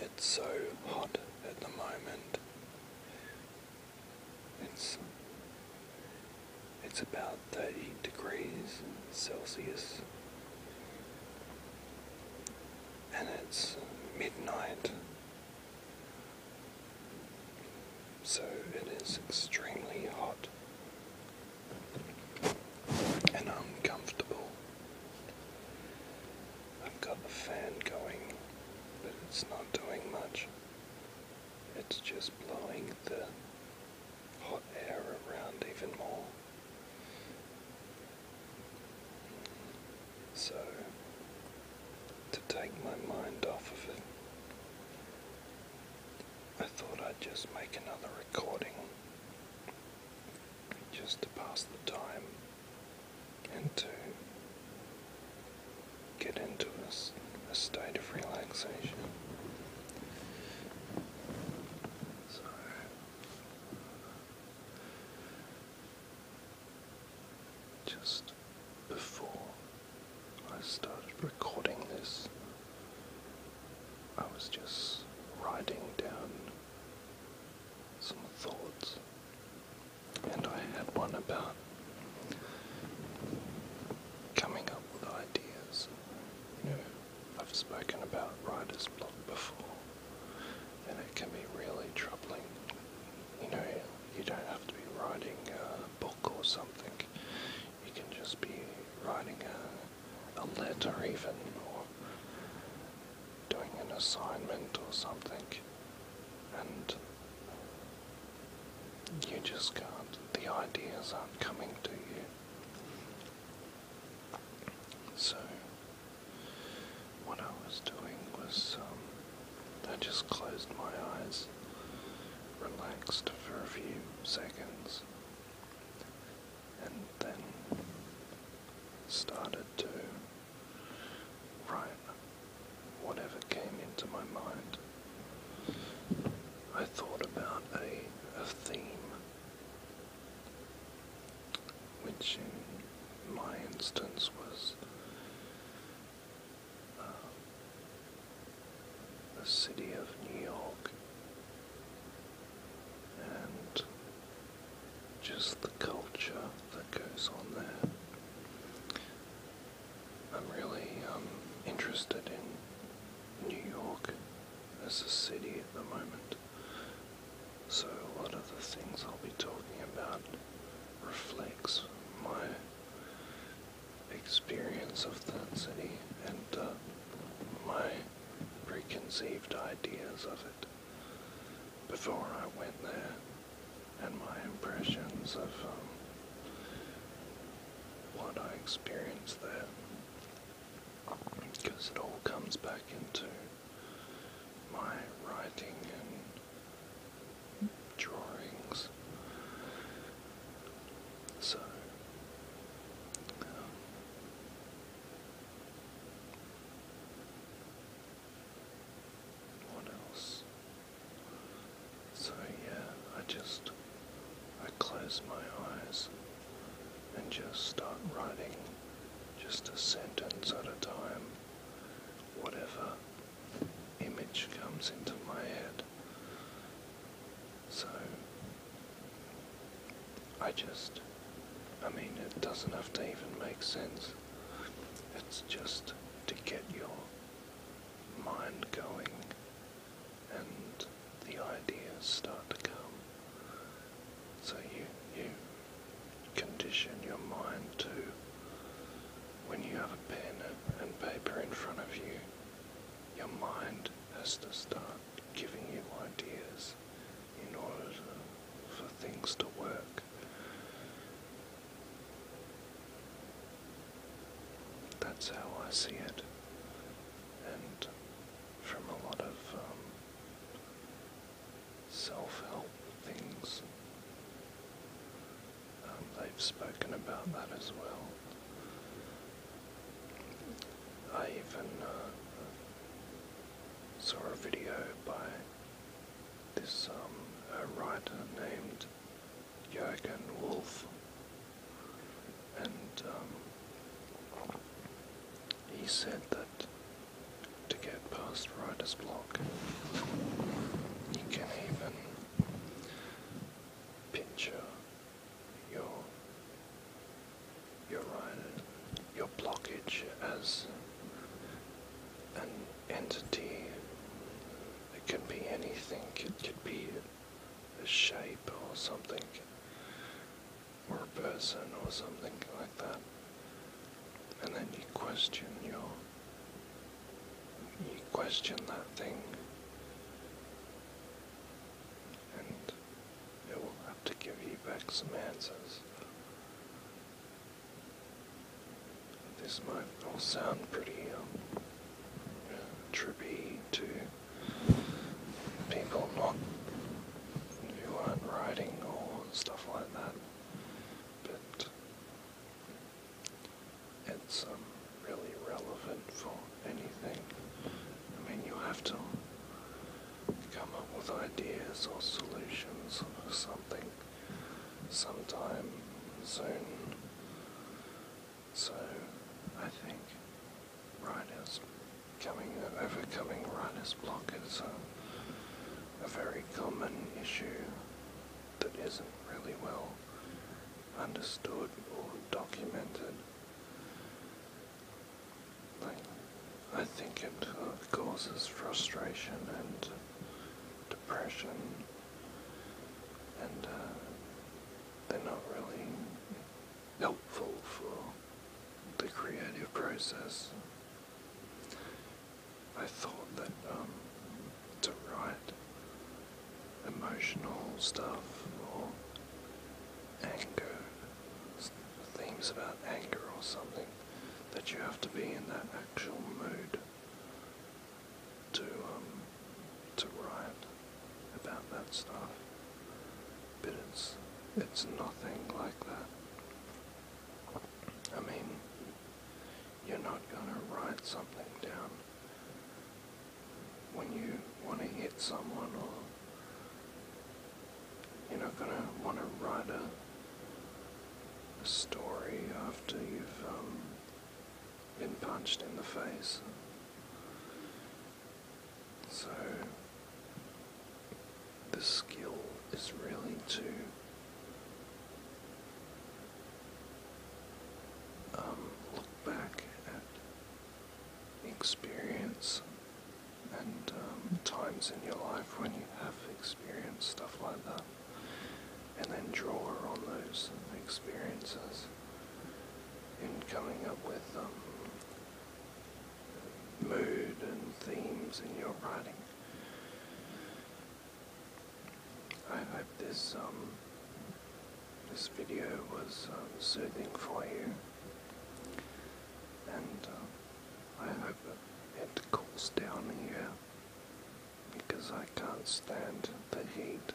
It's so hot at the moment. It's it's about 30 degrees Celsius. And it's midnight. So it is extremely hot and I'm I've got the fan going, but it's not doing much. It's just blowing the hot air around even more. So, to take my mind off of it, I thought I'd just make another recording just to pass the time and to get into a, state of relaxation. So, just before I started recording this, I was just writing down some thoughts, and I had one about coming up with ideas. You know, I've spoken about writer's block before, and it can be really troubling. You know, you don't have to be writing a book or something you can just be writing a, a letter even or doing an assignment or something and you just can't the ideas aren't coming to you so what I was doing was um, I just closed my eyes, relaxed for a few seconds, and then started to write whatever came into my mind. I thought about a, a theme, which in my instance was uh, the city of New York and just the culture that goes on there. I'm really um, interested in New York as a city at the moment, so a lot of the things I'll be talking about reflects my experience of that city and uh, my preconceived ideas of it before I went there and my impressions of um, what I experienced there. Because it all comes back into my writing and drawings. So, um, what else? So yeah, I just I close my eyes and just start writing just a sentence at a time whatever image comes into my head. So I just, I mean, it doesn't have to even make sense. It's just to get your mind going and the ideas start to come so you you condition your mind to when you have a pen and paper in front of you, your mind has to start giving you ideas in order for things to work. That's how I see it, and from a lot of um, self help things. Um, they've spoken about that as well. I even uh, saw a video by this um, a writer named Jürgen Wolf, and um, he said that to get past Rider's Block. You can even picture your your rider, your blockage as an entity. It could be anything. It could be a shape or something or a person or something like that. And then you question your you question that thing and it will have to give you back some answers. This might all sound pretty um, trippy to people not who aren't writing or stuff like that. But it's um, really relevant for anything. I mean, you have to come up with ideas or solutions or something sometime soon. So I think Rhino's coming, overcoming Rhino's block is a, very common issue that isn't really well understood or documented. I think it uh, causes frustration and depression, and uh, they're not really helpful for the creative process. I thought that um, to write emotional stuff or anger, things about anger or something, that you have to be in that actual mood to um, to write about that stuff. But it's it's nothing like that. I mean, you're not gonna write something down when you want to hit someone, or you're not gonna want to write a, story after you've um, been punched in the face. So, the skill is really to um, look back at experience and um, times in your life when you have experienced stuff like that, and then draw on those experiences in coming up with um, mood and themes in your writing. I hope this um, this video was um, soothing for you, and I hope it cools down here because I can't stand the heat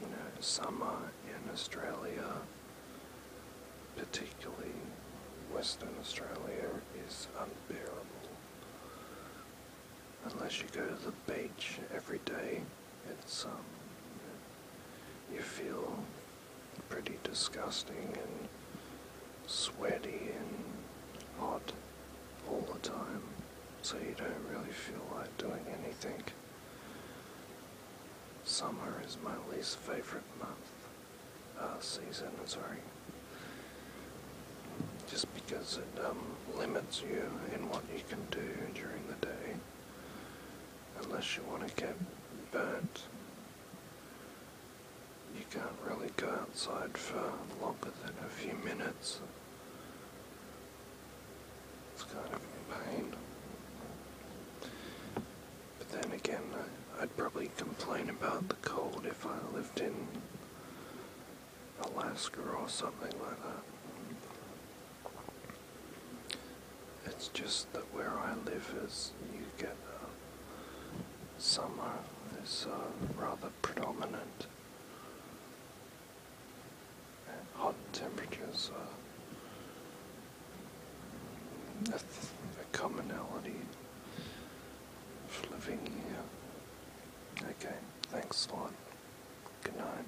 you know, summer in Australia, particularly Western Australia, is unbearable. Unless you go to the beach every day, it's um, you feel pretty disgusting and sweaty and hot all the time, so you don't really feel like doing anything. Summer is my least favorite month, uh, season, sorry. Just because it um, limits you in what you can do during the day, unless you want to get burnt. You can't really go outside for longer than a few minutes. It's kind of in pain. But then again, I'd probably complain about the cold if I lived in Alaska or something like that. It's just that where I live is you get uh, summer is uh, rather predominant hot temperatures uh, are a commonality of living here. Okay, thanks a lot. Good night.